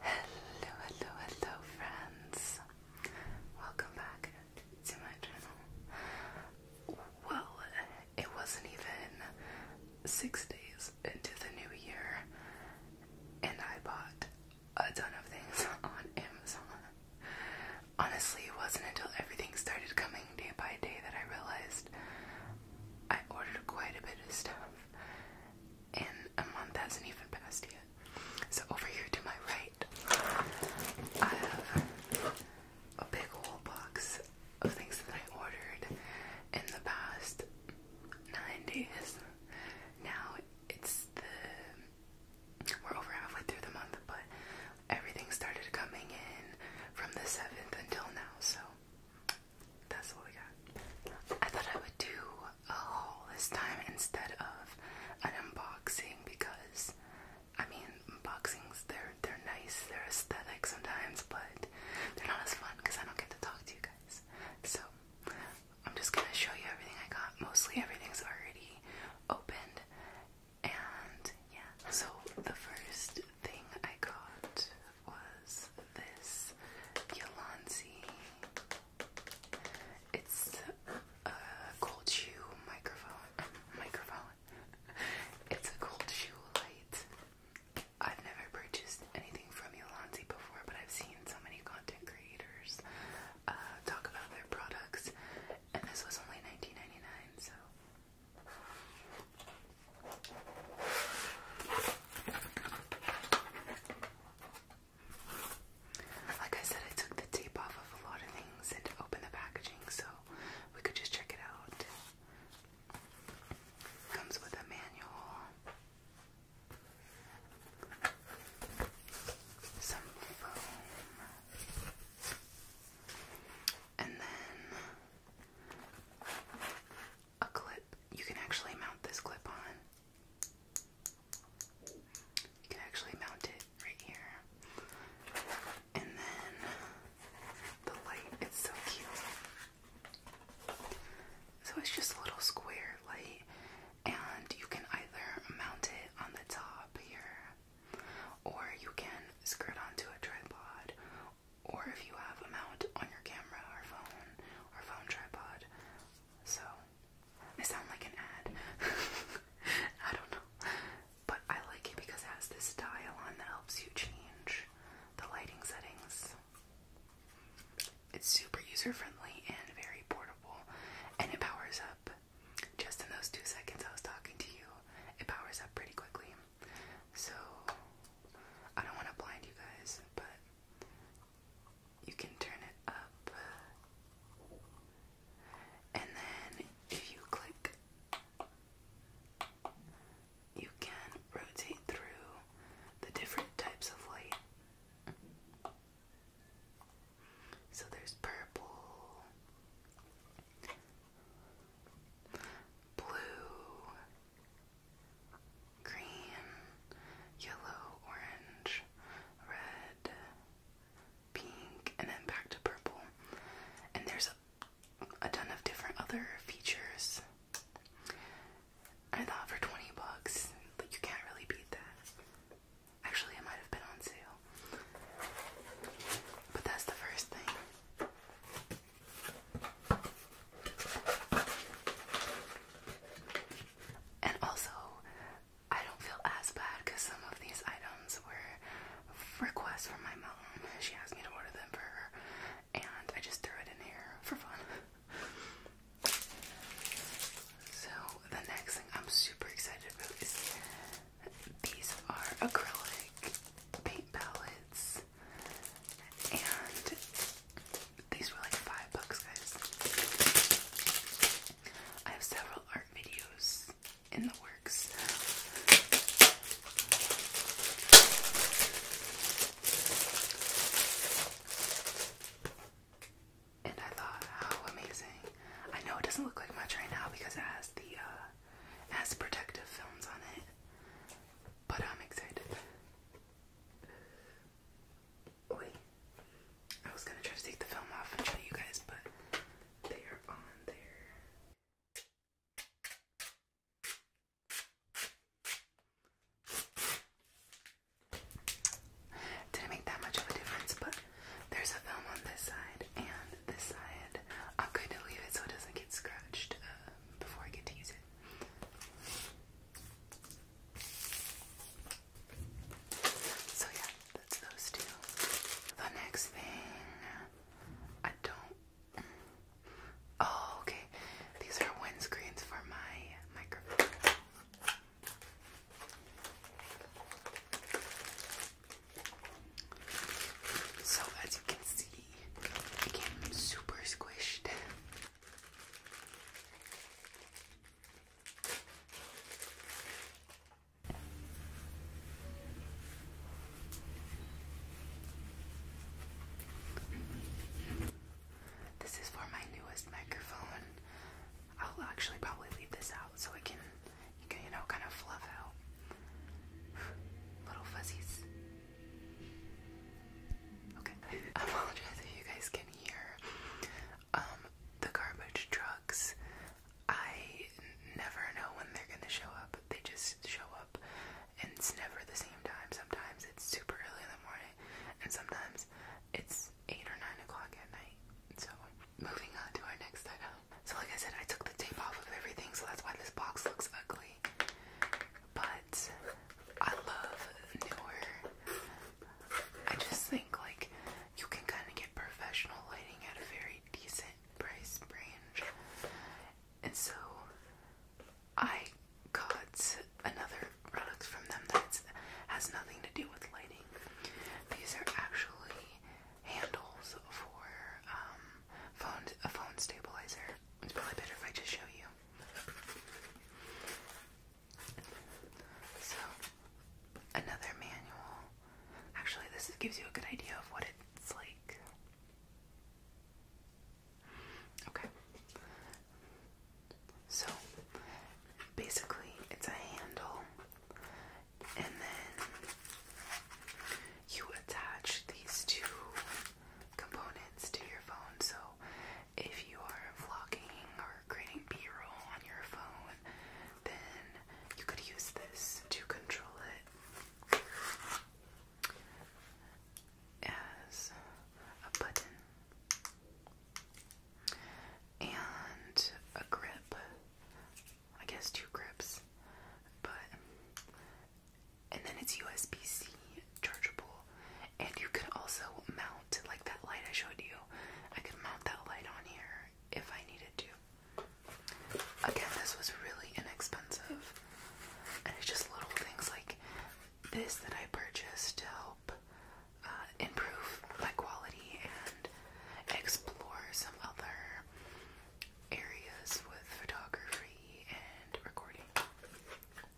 Hello, hello, hello, friends. Welcome back to my channel. Well, it wasn't even six days into the new year, and I bought a ton of things on Amazon. Honestly, it wasn't until everything started coming day by day that I realized I ordered quite a bit of stuff and a month hasn't even passed yet. So over here to my right, I have a big whole box of things that I ordered in the past nine days. Now it's we're over halfway through the month, but everything started coming in from the seventh until now. So that's what we got. I thought I would do a haul this time instead of an unboxing because I mean unboxings they're they're nice, they're aesthetic sometimes, but they're not as fun because I don't get to talk to you guys. So I'm just gonna show you everything I got. Mostly everything's already opened and yeah. So the first thing I got was this Yolanzi. It's a cold shoe microphone. microphone. It's a cold shoe light. I've never purchased anything from Yolanzi before, but I've seen so many content creators uh, talk about their products, and this was only $19.99, so like I said, I took the tape off of a lot of things and opened the packaging so we could just check it out. Comes with a manual, some foam, and then a clip. You can actually mount this clip on. You can actually mount it right here. And then the light, it's so cute. So it's just a little square light, and you can either mount it on the top here, or you can screw it onto a tripod, or if you have a mount on your camera or phone or phone tripod. So, I sound like an ad. I don't know. But I like it because it has this dial on that helps you change the lighting settings. It's super user friendly and very portable, and it powers up. Just in those two seconds I was talking to you, it powers up pretty quickly. So, I don't want to blind you guys, but you can turn it up. And then if you click, you can rotate through the different types of light. So there's purple, blue, green, yellow, orange, red, pink, and then back to purple. And there's a, ton of different other features. I thought for 20 bucks, like you can't really beat that. Actually, it might have been on sale. But that's the first thing. And also, I don't feel as bad because some of these items were requests from my mom. She asked me to order them for her, and I just threw it in here for fun. so, the next thing I'm super excited about is these are acrylic paint palettes and these were like five bucks, guys. I have several art videos in the works. And I thought, how amazing. I know it doesn't look like much right now because it has the uh protective films on it. But I'm excited. Wait, I was gonna try to take the film off and show you guys, but they are on there. Didn't make that much of a difference, but there's a film on this side and this side. I'm going to leave it so it doesn't get scratched uh, before I get to use it. So yeah, that's those two. The next thing, I don't. Oh, okay. These are windscreens for my microphone. So as you can see, I came super squished. This is for my newest microphone. I'll actually probably leave this out so I can, can, you know, kind of fluff out little fuzzies. Okay. I apologize if you guys can hear um, the garbage trucks. I never know when they're gonna show up. They just show up and it's never the same time. Sometimes it's super early in the morning and sometimes it's eight or nine o'clock at night. So moving on to our next item. So like I said I took the tape off of everything so that's why this box looks ugly but I love newer. I just think like you can kind of get professional lighting at a very decent price range. And so I got another product from them that has nothing to do with lighting. These are actually handles for um, phone a phone stabilizer. It's probably better if I just show you. So, another manual. Actually, this gives you a good idea of what it's like. Okay. So, basically, it's a handle, and then you attach these two components to your phone. So, if you are vlogging or creating b-roll on your phone, then you could use this to control it as a button and a grip. I guess two grips, but and then it's USB-C chargeable, and you can also mount like that light I showed you. I could mount that light on here if I needed to. Again, this was really inexpensive, and it's just little things like this that I purchased to help uh, improve my quality and explore some other areas with photography and recording. So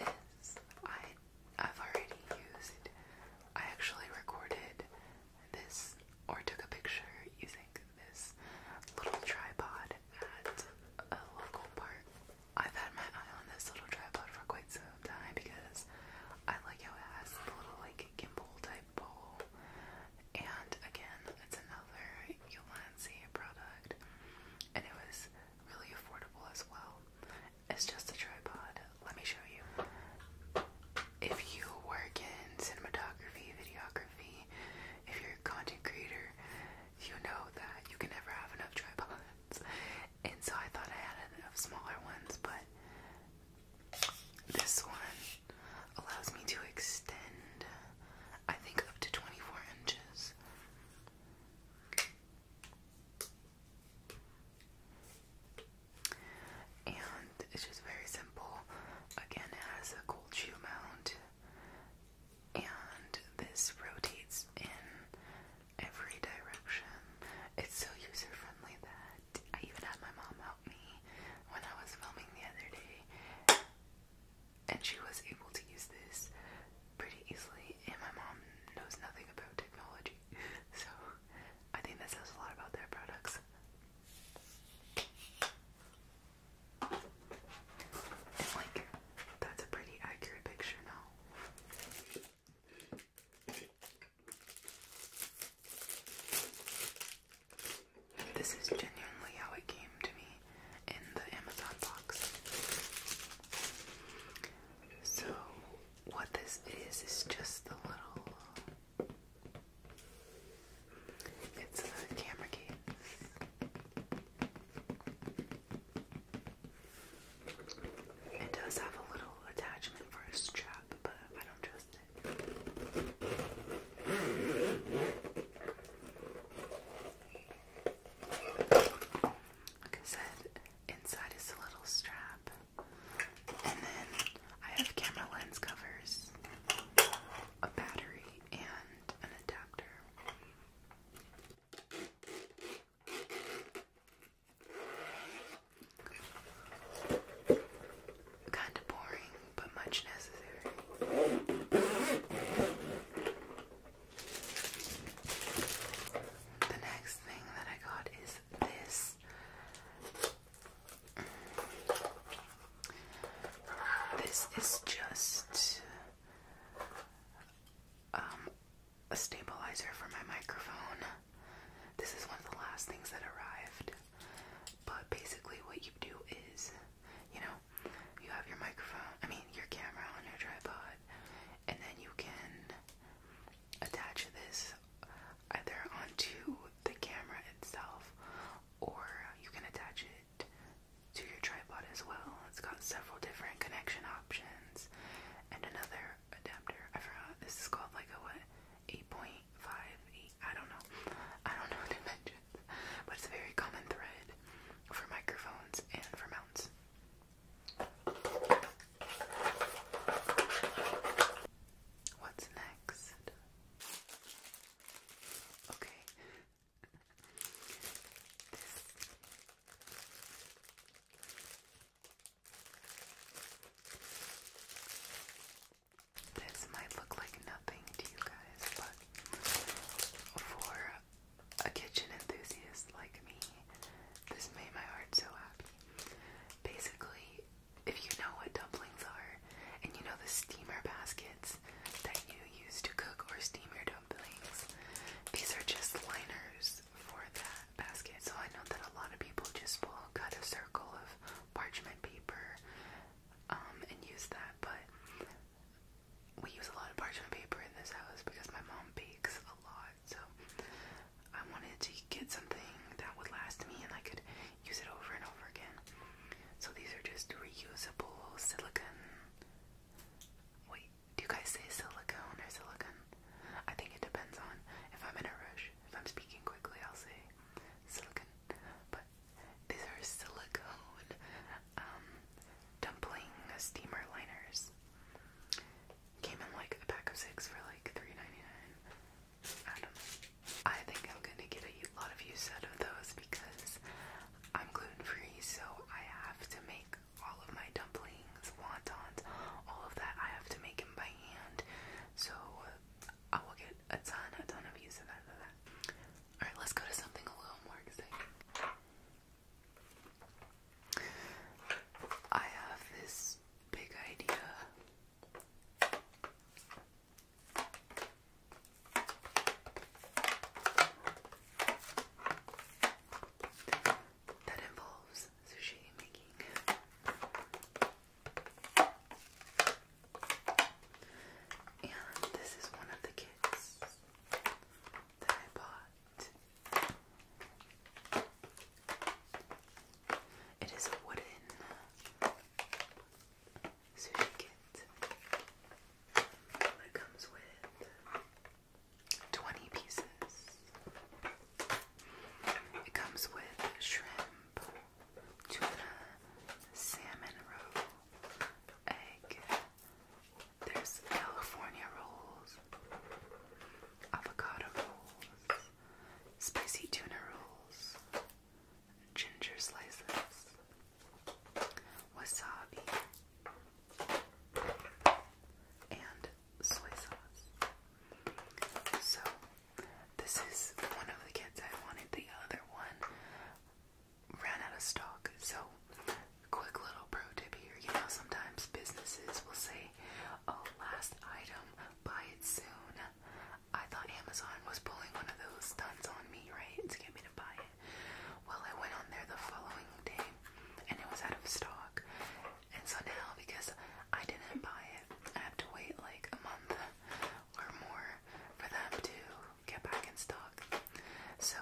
this, I, I've already used, I actually recorded this or took a picture using this little tripod at a local park. I've had my eye on this little tripod for quite some time because I like how it has the little like gimbal type pole and again, it's another Ulanzi product, and it was really affordable as well. It's just a tripod. Let me show you. If you work in cinematography, videography, if you're a content creator, you know that you can never have enough tripods. And so I thought I had enough smaller ones, but this one allows me to extend I think up to 24 inches. And it's just very simple. Again, it has a gold shoe mount, and this rotates in every direction. It's so user friendly that I even had my mom help me when I was filming the other day and she was able to use this pretty easily. And my mom knows nothing about technology, so I think that says a lot about their products. like, that's a pretty accurate picture now. This is genuinely how it came to me in the Amazon box. So, what this is, is just the little. It's a camera case. It does have a little attachment for a strap, but I don't trust it. Like I said, inside is a little strap. And then I have camera lens covers, a battery, and an adapter kind of boring, but much necessary. The next thing that I got is this. This is just um, a stabilizer for my microphone. This is one of the last things that arrived. But basically, what you do is, you know, you have your microphone, I mean your camera on your tripod, and then you can attach this either onto the camera itself or you can attach it to your tripod as well. It's got several different connection options and another adapter. I forgot this is called like a what? 8.58. I don't know. I don't know what to mention. but it's a very common thread for microphones and for mounts. What's next? Okay. This might look like nothing to you guys, but for a kitchen enthusiast like me, this made my heart so happy. Basically, if you know what dumplings are, and you know the steamer baskets that you use to cook or steam your dumplings, these are just liners for that basket. So I know that a lot of people just pull, cut a circle of parchment paper um, and use that, but we use a lot of parchment paper in this house because my mom bakes a lot, so I wanted to get something that would last me and I could use it over and over again. So these are just reusable silicone. Wait, do you guys say silicone or silicon? I think it depends on if I'm in a rush. If I'm speaking quickly, I'll say silicon. But these are silicone um, dumpling steamer liners. Came in like a pack of six for like 3 I think I'm gonna get a lot of use out of those because I'm gluten free, so I have to make all of my dumplings, wontons, all of that. I have to make them by hand, so I will get a ton, a ton of use out of that. Alright, let's go to something a little more exciting. I have this big idea. That involves sushi making. And this is one of the kits that I bought. It is a wooden sushi kit that comes with 20 pieces. It comes with shrimp, tuna, salmon roe, egg. There's California rolls, avocado rolls, spicy tuna rolls, ginger slices, wasabi, and soy sauce. So, this is one of the kids I wanted. The other one ran out of stock. So, quick little pro tip here you know, sometimes businesses will say, Oh, last item, buy it soon. I thought Amazon was pulling one of those stunts on me, right, to get me to buy it. Well, I went on there the following day and it was out of stock. And so now, because I didn't buy it, I have to wait like a month or more for them to get back in stock. So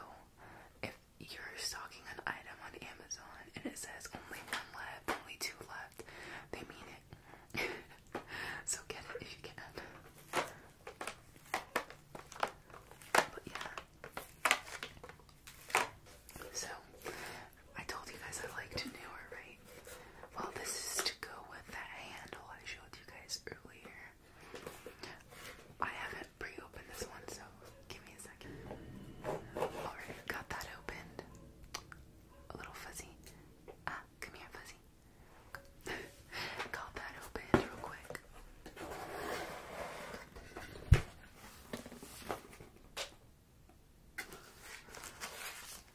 if you're stocking an item on Amazon and it says only one left, only two left, they mean it. so get it if you can. But yeah. So I told you guys I like to right? Well, this is to go with that handle I showed you guys earlier. I haven't pre-opened this one, so give me a second. Alright, got that opened. A little fuzzy. Ah, come here, fuzzy. got that opened real quick.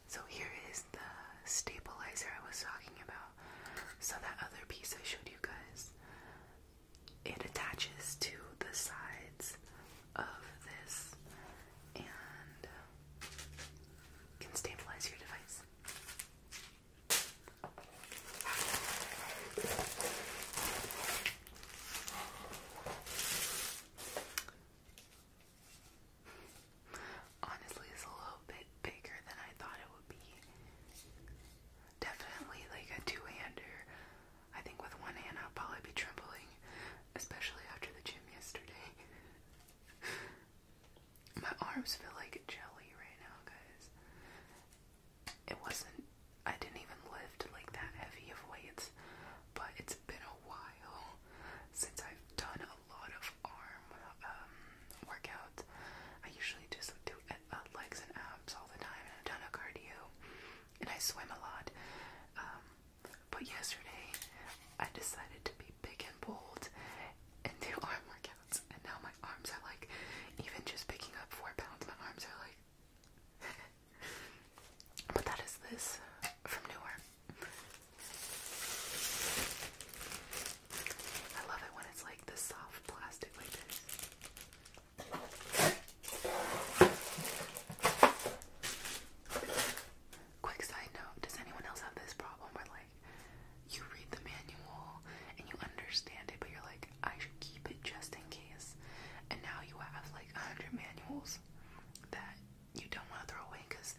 So here is the stabilizer I was talking about. So that other piece I showed you guys, it attaches to the sides of this and can stabilize your device. Honestly, it's a little bit bigger than I thought it would be. Definitely like a two-hander. I think with one hand I'll probably be trembling, especially after the gym yesterday. My arms feel like jelly right now, guys. It wasn't, I didn't even lift like that heavy of weights, but it's been a while since I've done a lot of arm um, workouts. I usually just do uh, uh, legs and abs all the time and a ton of cardio. And I swim a lot. Um, but yesterday, I decided to be big and bold and do arm workouts. And now my arms are like, even just picking up four pounds, my arms are like. but that is this from Newark. I love it when it's like the soft plastic like this. Quick side note, does anyone else have this problem where like you read the manual and you understand it but you're like, I should keep it just in case and now you have like a hundred manuals that you don't want to throw away because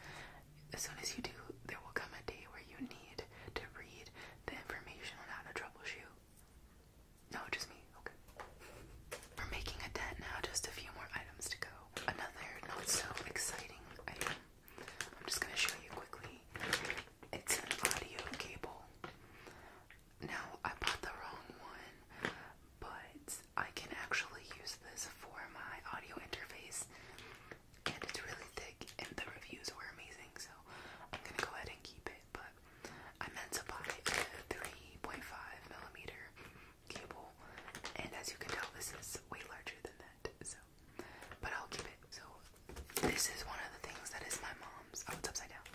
as soon as you do, there will come a day where you need to read the information on how to troubleshoot. No, just me. Okay. We're making a dent now, just a few more items to go. Another not so exciting item. I'm just gonna show you quickly. It's an audio cable. Now, I bought the wrong one, but I can actually use this for my audio interface and it's really thick and the reviews were amazing so I'm gonna go ahead and keep it but I meant to buy a 3.5 millimeter cable and as you can tell this is way larger than that so but I'll keep it so this is one of the things that is my mom's oh it's upside down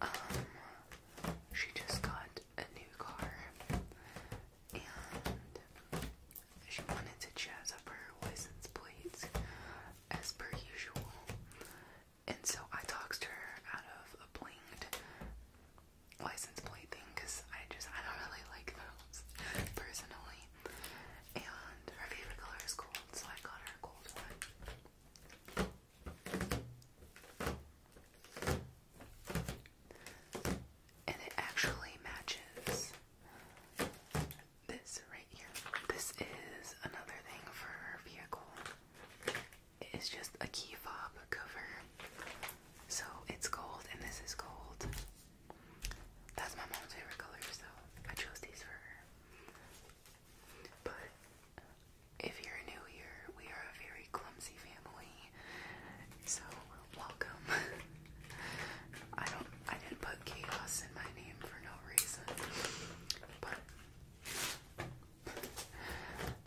um she just got a new car and she wanted to jazz up her license plates as per usual. And so I talked to her out of a blinged license plate thing because I just, I don't really like those personally. And her favorite color is gold, so I got her a gold one and it actually matches this right here. This is another thing for our vehicle. It is just a key fob cover. So it's gold and this is gold. That's my mom's favorite color, so I chose these for her. But if you're new here, we are a very clumsy family. So welcome. I don't I didn't put chaos in my name for no reason. But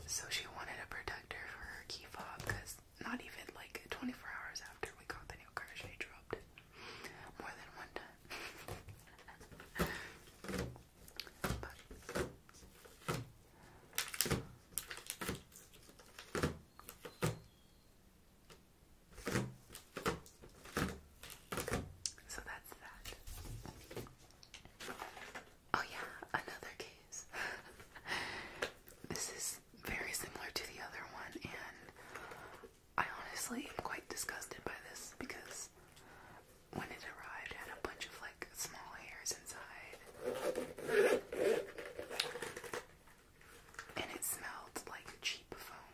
so she wanted a protector for her key fob because not even like 24 hours after we got the new car, she dropped it more than one time. So that's that. Oh, yeah, another case. this is very similar to the other one, and I honestly am quite disgusted by this because when it arrived, it had a bunch of like small hairs inside and it smelled like cheap foam.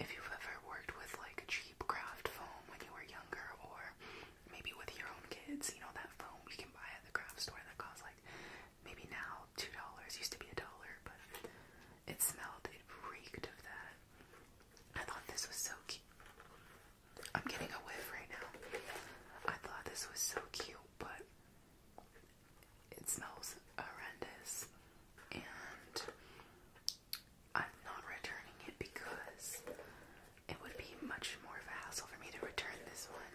If you've ever worked with like cheap craft foam when you were younger, or maybe with your own kids, you know that foam you can buy at the craft store that costs like maybe now two dollars, used to be a dollar, but it smelled, it reeked of that. I thought this was so cute. I'm getting a whiff right now. I thought this was so cute, but it smells horrendous, and I'm not returning it because it would be much more of a hassle for me to return this one.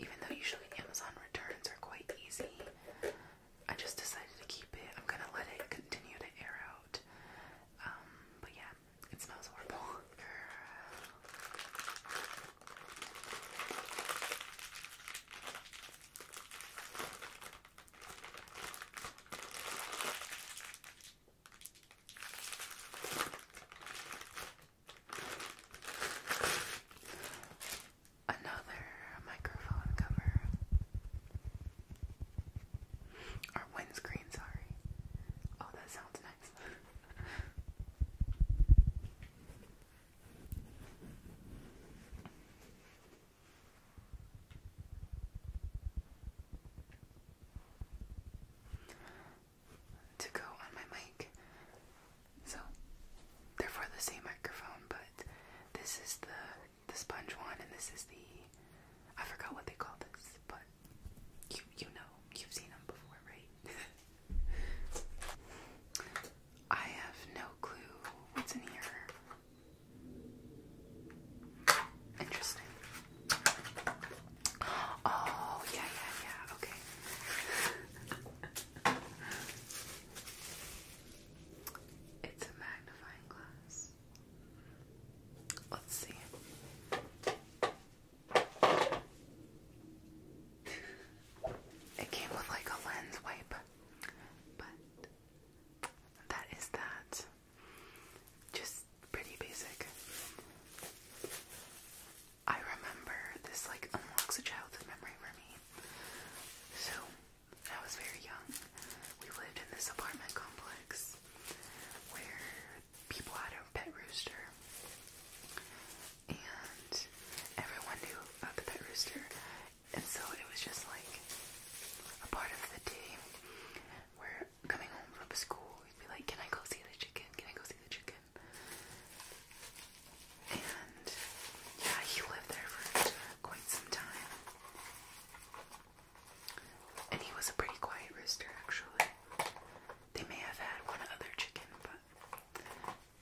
Even though usually Amazon returns are quite easy, I just decided to keep it. I'm gonna let it continue to air out. Um, but yeah, it smells horrible. Another microphone cover or windscreen, sorry. Oh, that sounds nice. to go on my mic. So they're for the same microphone, but this is the the sponge one and this is the I forgot what they call this, but you you know, you've seen them before, right? I have no clue what's in here. Interesting. Oh, yeah, yeah, yeah, okay. it's a magnifying glass. Let's see. It came with like a lens wipe, but that is that. Just pretty basic. I remember this like unlocks a childhood memory for me. So, when I was very young, we lived in this apartment complex where people had a pet rooster and everyone knew about the pet rooster, and so it was just like a part of the day where coming home from school, we'd be like, Can I go see the chicken? Can I go see the chicken? And yeah, he lived there for quite some time. And he was a pretty quiet rooster, actually. They may have had one other chicken, but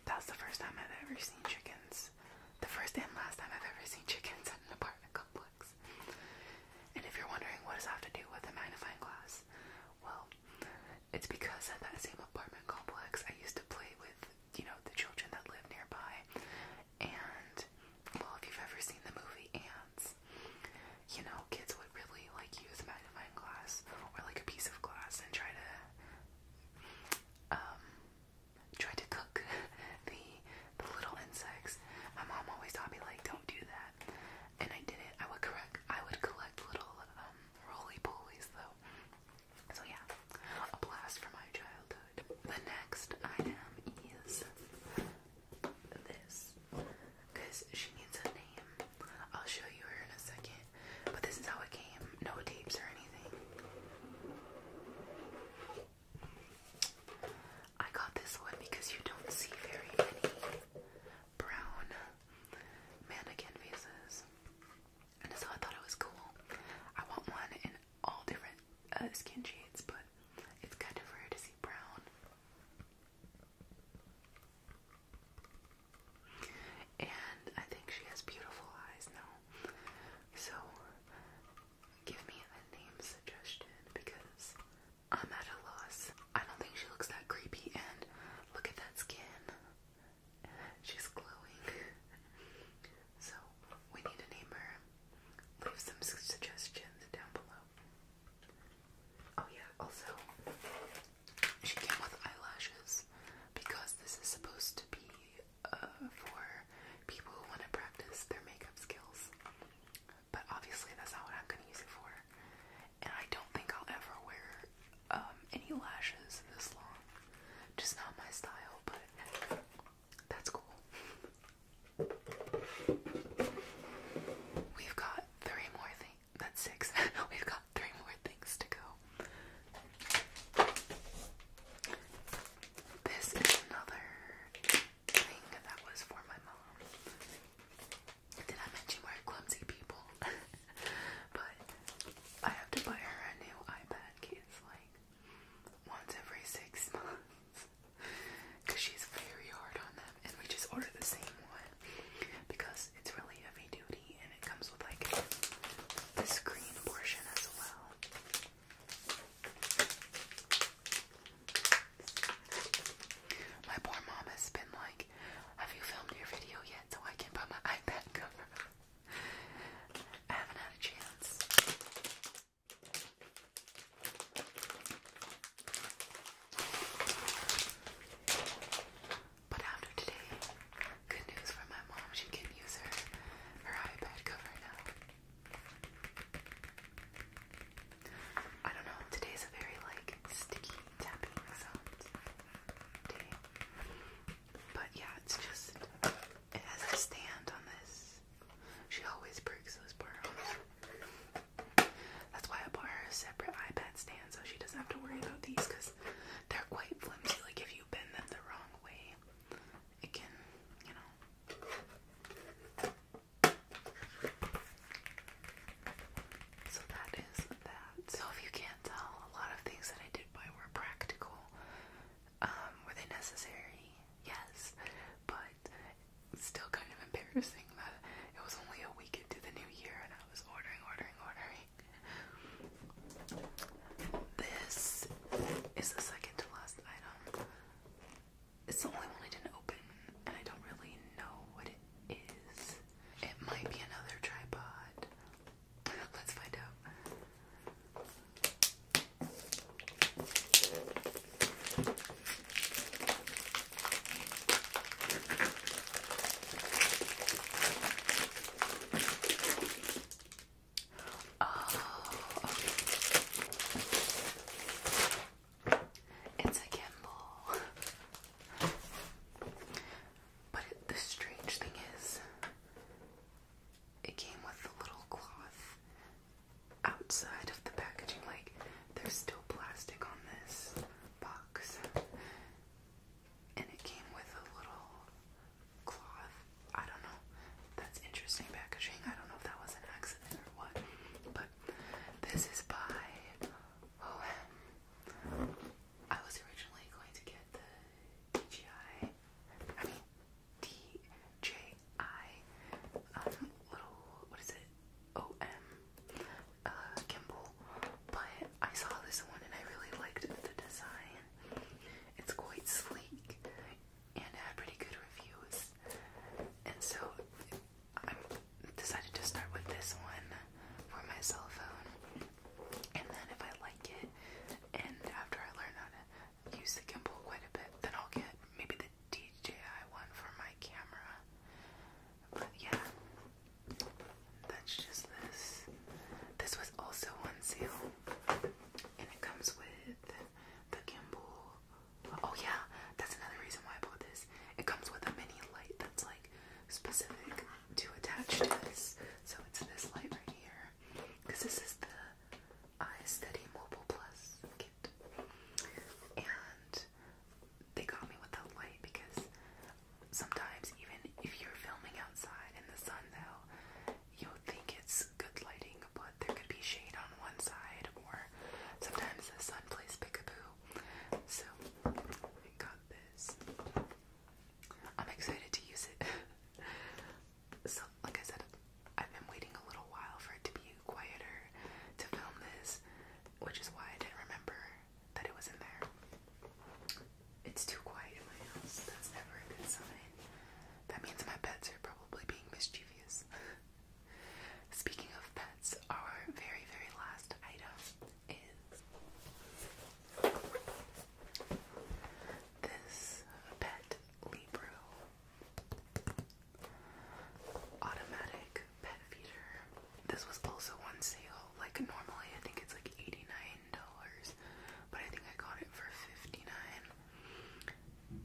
that's the first time I've ever seen chickens. The first and last time I've ever seen chickens in an apartment complex. And if you're wondering what does that have to do with a magnifying glass, well, it's because at that same apartment complex I used to play with, you know, the children that live nearby. And well, if you've ever seen the movie Ants, you know, kids would really like use a magnifying glass or like a piece of glass and try to um, to cook the the little insects. My mom always taught me like don't do that, and I didn't. I would correct. I would collect little um, roly polies though. So yeah, a blast from my childhood. The next item is this, cause she needs a name. I'll show you her in a second. But this is how it came. No tapes or anything. I got this one because you don't see very many brown mannequin faces. And so I thought it was cool. I want one in all different uh, skin shades, but it's kind of rare to see brown. And I think she has beautiful eyes now. So give me a name suggestion because I'm at a loss. I don't think she looks that creepy and look at that skin. She's glowing. so we need to name Leave some suggestions down below. Oh yeah, also she came with eyelashes because this is supposed to be uh, for people who want to practice their makeup skills. But obviously, that's not what I'm going to use it for. And I don't think I'll ever wear um, any lashes this long. Just not my style, but that's cool. We've got three more things that's six. We've got three more things to go. This is another thing that was for my mom. Did I mention we're clumsy people? but I have to buy her a new iPad case like once every six months because she's very hard on them, and we just order the same one because it's really heavy duty and it comes with like the screen portion as well. My poor mom has been like, Have you filmed your video yet so I can buy my iPad cover? I haven't had a chance. But after today, good news for my mom, she can use her, her iPad cover now. I don't know, today's a very like sticky tapping sound day. But yeah, it's just, it has a stand on this. She always breaks those pearls. That's why I bought her a separate iPad stand so she doesn't have to worry about these because they're quite flimsy. Like if you bend them the wrong way, it can, you know. So that is that. So if you can't tell, a lot of things that I did buy were practical. Um, were they necessary? Yes. But still kind of embarrassing that it was only a week into the new year and I was ordering, ordering, ordering. This is the second to last item. It's the only one I didn't open, and I don't really know what it is. It might be another tripod. Let's find out. Oh, okay. It's a gimbal. But it, the strange thing is, it came with the little cloth outside of the packaging. Like, there's still plastic on this box and it came with a little cloth. I don't know. That's interesting packaging. I don't know if that was an accident or what. But this is by OM. I was originally going to get the DJI, I mean DJI, um, little, what is it? OM uh, Kimball, but I saw this one and I really liked the design. It's quite sleek and had pretty good reviews, and so I decided to start with this one for my cell phone, and then if I like it, and after I learn how to use the gimbal quite a bit, then I'll get maybe the DJI one for my camera. But yeah, that's just this. This was also on And it comes with the gimbal. Oh yeah, that's another reason why I bought this. It comes with a mini light that's like specific to attach to this. So it's this light right here. Because this is the Eye iSteady Mobile Plus kit. And they got me with that light because sometimes even if you're filming outside in the sun though, you'll think it's good lighting, but there could be shade on one side or sometimes the sun plays peekaboo. So I got this. I'm excited to use it. so like I said, I've been waiting a little while for it to be quieter to film this, which is why I didn't remember that it was in there. It's too quiet in my house. That's never a good sign. That means my pets are probably being mischievous. Speaking of pets, our very, very last item is this pet Libro automatic pet feeder. This was also on sale. Like normally, I think it's like eighty nine but I think I got it for fifty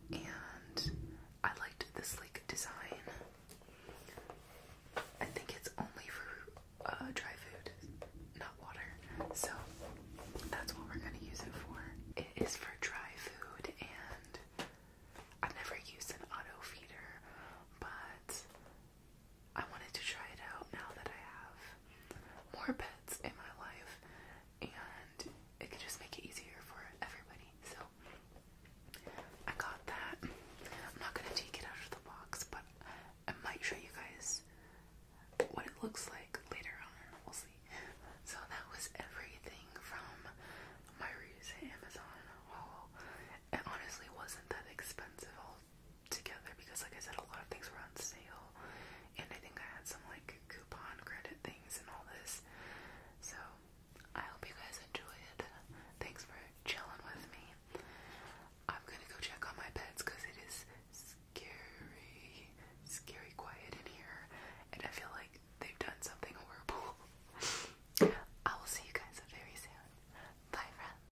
nine. And I liked this like design. I think it's only for uh, dry food, not water. So that's what we're gonna use it for. It is for dry food, and I've never used an auto feeder, but I wanted to try it out now that I have more pets in my life and it could just make it easier for everybody. So I got that. I'm not gonna take it out of the box, but I might show you guys what it looks like later on. We'll see. So that was everything from my reviews at Amazon haul. Oh, it honestly wasn't that expensive all together because, like I said, a lot of things were on sale, and I think I had some like coupon credit things and all this. So I hope you guys enjoy it. Thanks for chilling with me. I'm gonna go check on my pets because it is scary, scary quiet in here, and I feel like they've done something horrible. I will see you guys very soon. Bye, friends.